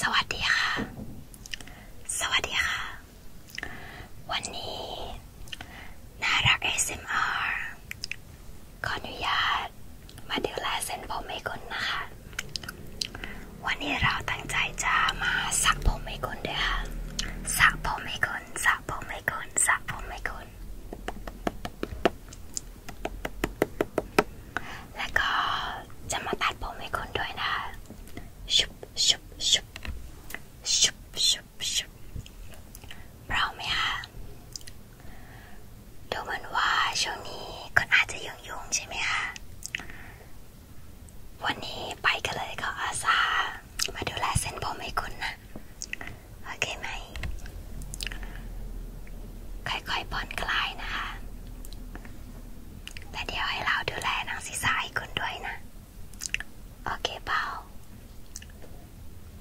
สวัสดีค่ะ สวัสดีค่ะ วันนี้น่ารัก ASMR ขออนุญาตมาดูแลเส้นผมให้คุณนะคะ วันนี้เราตั้งใจจะมาสักผมให้คุณด้วยค่ะสักผมให้คุณสักผมให้คุณสักผมให้คุณแล้วก็จะมาตัดผมให้คุณด้วยนะ ชุบชุบชุบ ชุบชุบชุบเราไม่ฮะดูเหมือนว่าช่วงนี้คุณอาจจะยุ่งยุ่งใช่ไหมฮะวันนี้ไปกันเลยก็อาสามาดูแลเส้นผมให้คุณนะโอเคไหม ค่อยๆผ่อนคลายนะคะ แต่เดี๋ยวให้เราดูแลหนังศีรษะให้คุณด้วยนะ โอเคเปล่า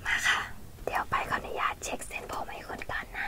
มาค่ะ เดี๋ยวไปขออนุญาตเช็คเส้นผมให้คุณก่อนนะ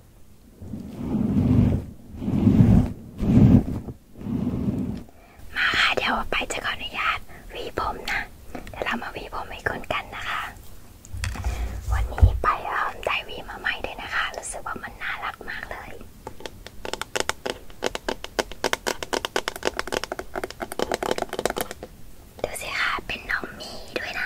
มาค่ะเดี๋ยวไปจะขออนุญาตวีผมนะเดี๋ยวเรามาวีผมให้คุณกันนะคะ วันนี้ไปได้วีมาใหม่ด้วยนะคะ รู้สึกว่ามันน่ารักมากเลยดูสิค่ะเป็นน้องมีด้วยนะ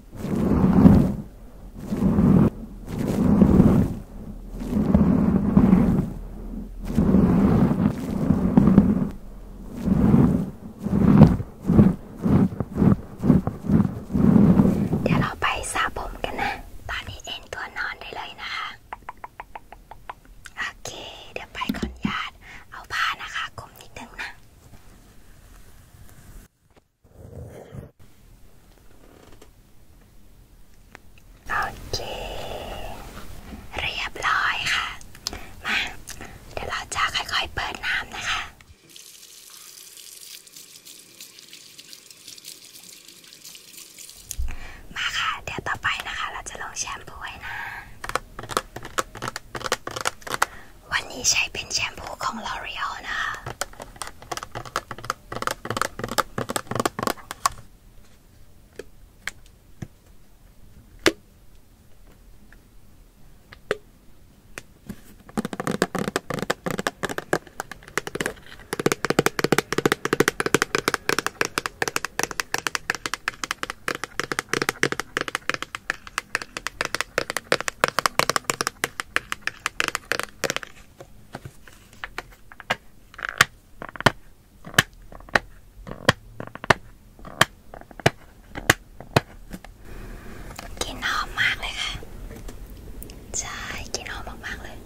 เดี๋ยวเราไปสระผมกันนะ ตอนนี้เอนตัวนอนได้เลยนะคะ โอเค เดี๋ยวไปขออนุญาตเอาผ้านะคะคุมนิดนึงนะโอเค เรียบร้อยค่ะ มาเดี๋ยวเราจะค่อยๆ เปิดน้ำนะคะ มาค่ะเดี๋ยวต่อไปนะคะเราจะลงแชมพูให้นะวันนี้ใช้เป็นแชมพูของ L'Oreal นะคะกินหอมมากเลยค่ะใช่กินหอมมากๆเลยอ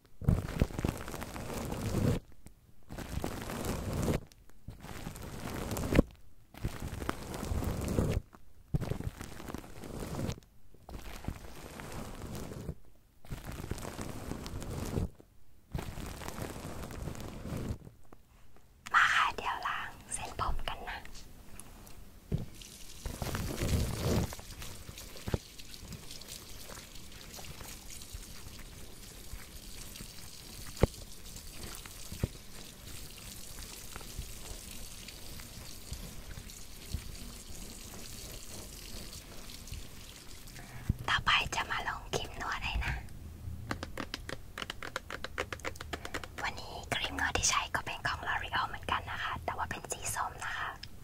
มาค่ะเดี๋ยวล้างเส้นผมกันนะต่อไปจะมาลงครีมนวดให้นะ วันนี้ครีมนวดที่ใช้ก็เป็นของ L'Oreal เหมือนกันนะคะ แต่ว่าเป็นสีส้มนะคะ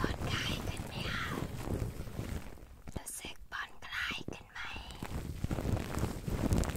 ผ่อนคลายขึ้นไหมคะรู้สึกผ่อนคลายขึ้นไหมเ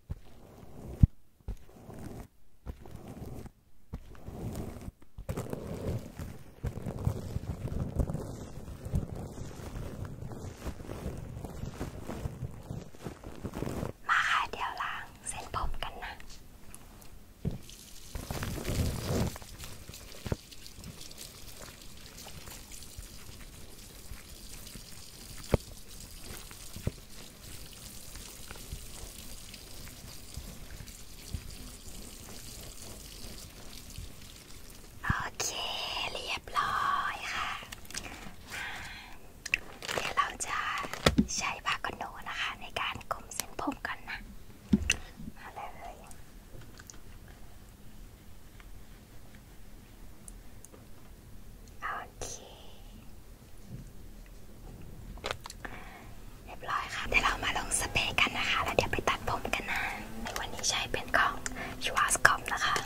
มาค่ะเดี๋ยวล้างเส้นผมกันนะโอเคเรียบร้อยค่ะ เดี๋ยวเราจะใช้ผ้ากันหนูนะคะในการกลมเส้นผมกันนะมาเลย โอเคเรียบร้อยค่ะเดี๋ยวเรามาลงสเปรย์กันนะคะ แล้วเดี๋ยวไปตัดผมกันนะในวันนี้ใช้เป็นของชัวสคอมนะคะเ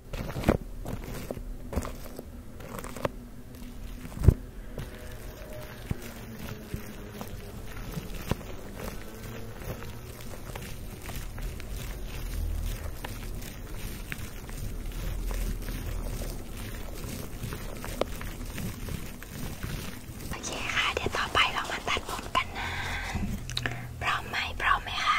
โอเคค่ะเดี๋ยวต่อไปเรามาตัดผมกันนะ พร้อมไหม พร้อมไหมคะ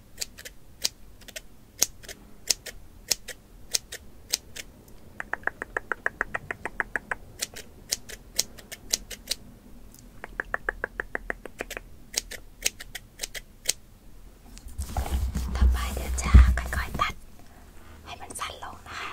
ต่อไปเดี๋ยวจะค่อยๆตัดให้มันสั้นลงนะคะ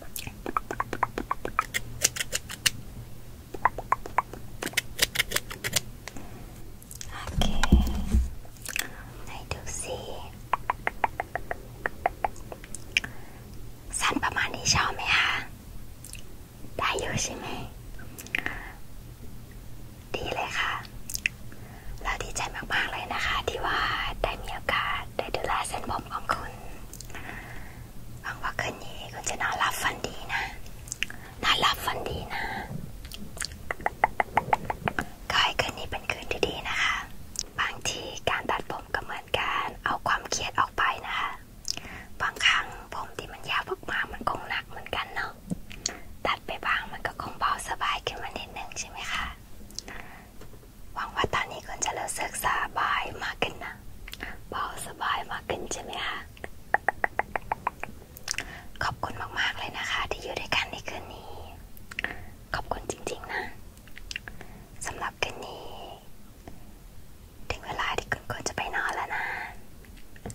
โอเคไหนดูสิ สั้นประมาณนี้ชอบไหมคะ ได้ยูใช่ไหม ดีเลยค่ะ เราดีใจมาก ๆ เลยนะคะที่ว่าได้มีโอกาสได้ดูแลเส้นผมของคุณหวังว่าคืนนี้คุณจะนอนหลับฝันดีนะนอนหลับฝันดีนะก็ให้คืนนี้เป็นคืนที่ดีนะคะ บางทีการตัดผมก็เหมือนการเอาความเครียดออกไปนะคะบางครั้งผมที่มันยาวมากๆมันคงหนักเหมือนกันเนาะ ตัดไปบางมันก็คงเบาสบายขึ้นมานิดนึงใช่ไหมคะหวังว่าตอนนี้คุณจะรู้สึกสบายมากขึ้นนะเบาสบายมากขึ้นใช่ไหมคะขอบคุณมากๆเลยนะคะที่อยู่ด้วยกันในคืนนี้ ขอบคุณจริง ๆ นะสำหรับคืนนี้ถึงเวลาที่คุณควรจะไปนอนแล้วนะ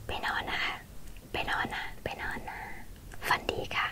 ไปนอนนะคะไปนอนนะ ไปนอนนะ ฝันดีค่ะ